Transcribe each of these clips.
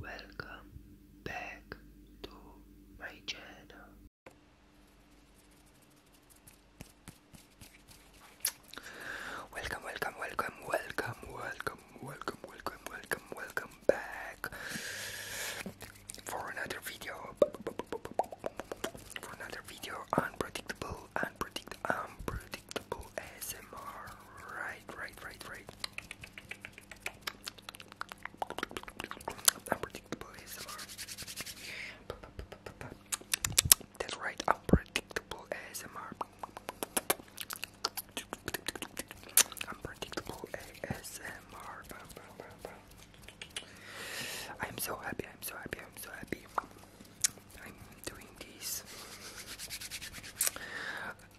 Welcome back to my channel. Welcome, welcome, welcome, welcome, welcome, welcome, welcome, welcome, welcome back for another video. For another video, unpredictable, unpredictable, unpredictable ASMR. Right, right, right, right. That's right, unpredictable ASMR. Unpredictable ASMR. I'm so happy, I'm so happy, I'm so happy. I'm doing this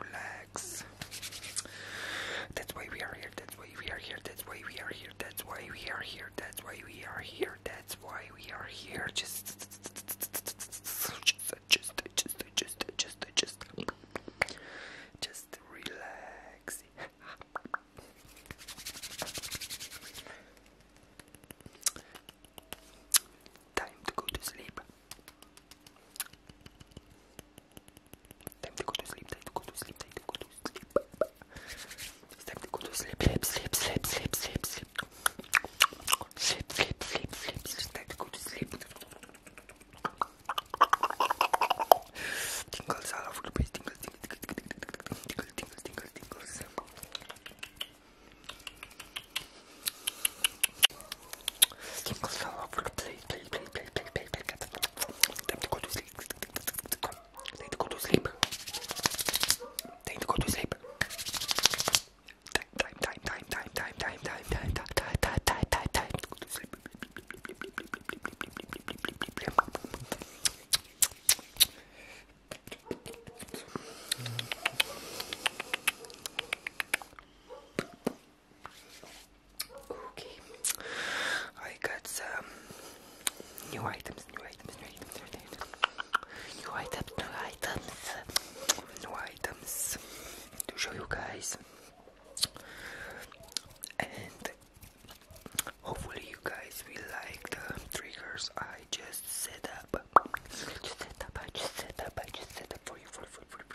Relax. That's why we are here. That's why we are here. That's why we are here. That's why we are here. That's why we are here. That's why we are here. Just, just, just, just, just, just, just, just relax. Time to go to sleep. Time to go to sleep, time to go to sleep, time to go to sleep. time to go to sleep, sleep, sleep, sleep, sleep, sleep, sleep. Sleep, sleep, sleep, sleep, it's time to go to sleep. Tingles all over the place, tingles, tingles, tingles, tingles, tingles, tingles, tingles, tingles. Tingles fell all over the place. Please, please, please, please, please, please. Time to go to sleep. Time to go to sleep. Time to go to sleep. Time, time, time, time, time, time, time, time, time, time, time, time, time, to sleep. Okay, I got some new items, new items, new items, new items, new items, new items to show you guys, and hopefully you guys will like the triggers I just set up. I just set up, I just set up, just set up for you, for you, for for you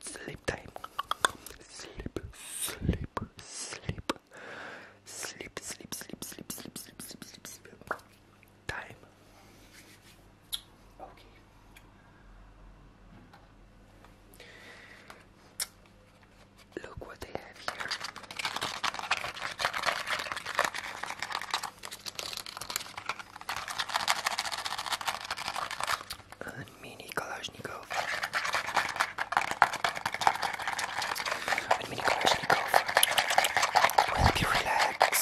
sleep time. Sleep, sleep, sleep. Sleep, sleep, sleep, sleep, sleep, sleep, sleep, sleep, sleep. Time. Okay. Look what they have here mini Kalashnikov. mini Kalashnikov will help you relax.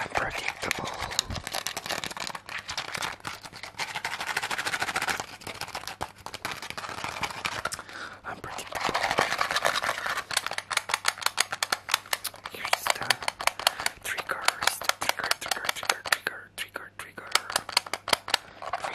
Unpredictable. Unpredictable. Here's the triggers. The trigger, trigger, trigger, trigger, trigger, trigger. Trigger. Trigger. And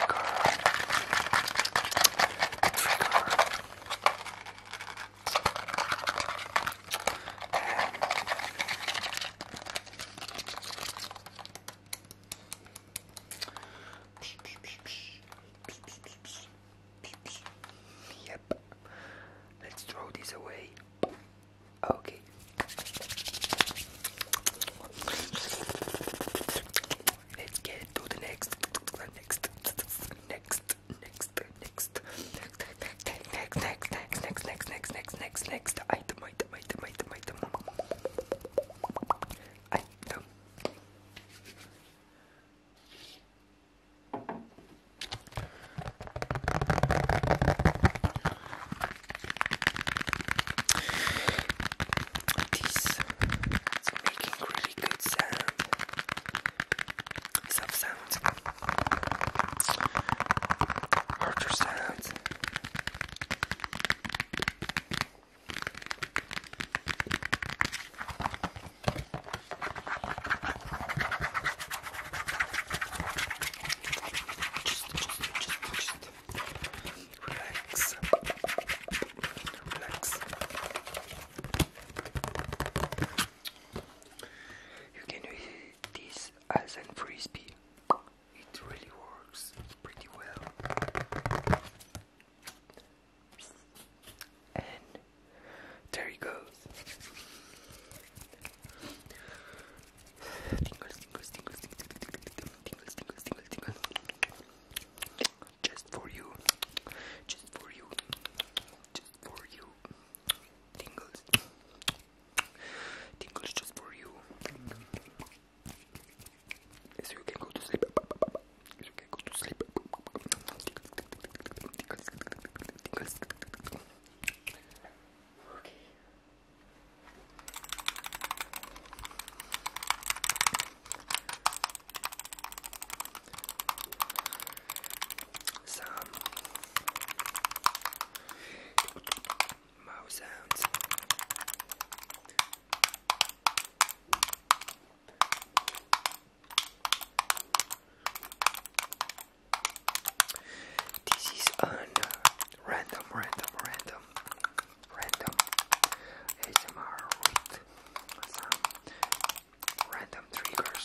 Yep. Let's throw this away. Okay. Let's get to the next, next, next, next, next next, next, next, next, next, next, next, next, next, next item, item, item, item, item, item. This is making really good sound. Soft sounds. Archer sounds. relax, relax. You can use this as a frisbee it really works pretty well. And there he goes. Tingles, tingles, tingles, tingles, tingles, tingles, tingles. Just for you, just for you, just for you. Tingles, Tingles just for you. So you can go to sleep. So you can go to sleep. Okay. Some this is on uh, random, random, random, random ASMR with some random triggers.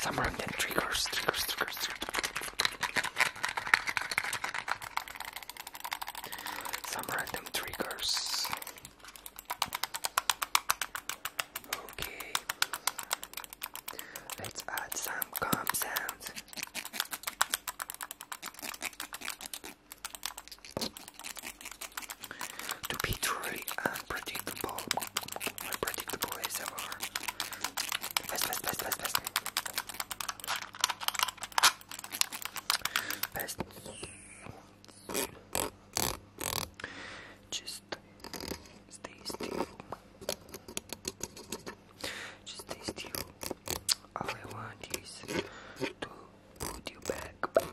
Some remnant triggers, triggers, triggers, triggers. Some random triggers. Okay. Let's add some calm sounds to be truly unpredictable. More predictable ever. Best, best, best, best, best. Best. Just stay still. Just stay still. All I want is to put you back,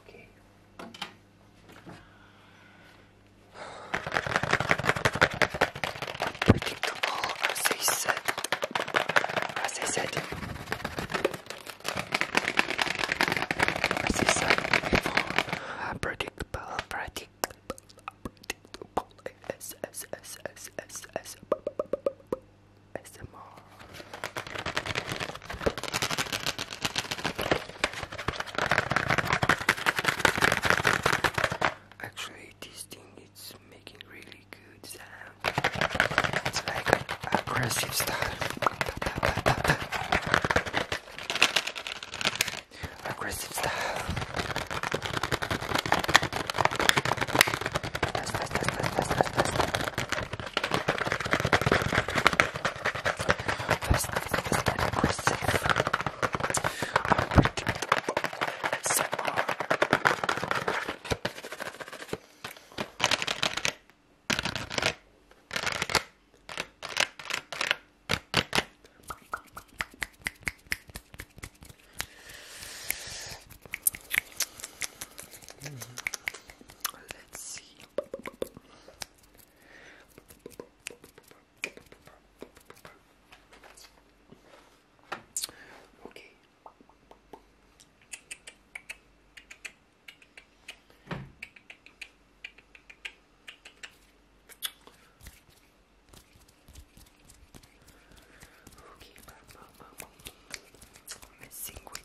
Okay. Predictable, as I said. As I said. As I said before. Predictable, predictable, predictable. S, S, S, S, S, S. ASMR. Actually, this thing is making really good sound. It's like aggressive style. Aggressive style. This, this, this pretty aggressive. I'm pretty Let's see. Okay. Okay, I think we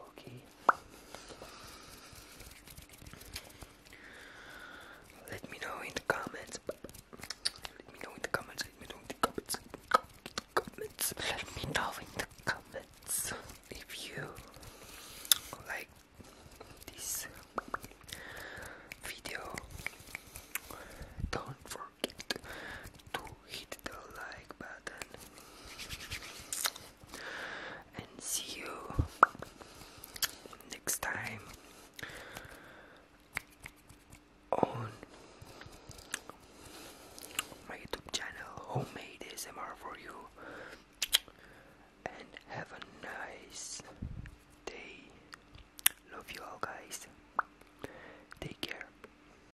Okay. Let me know in the comments. Let me know in the comments. Let me know in the comments. Let me know in the comments if you like this video. Don't forget to hit the like button and see you next time on my YouTube channel Homemade ASMR for you and have a nice day. Love you all guys. Take care.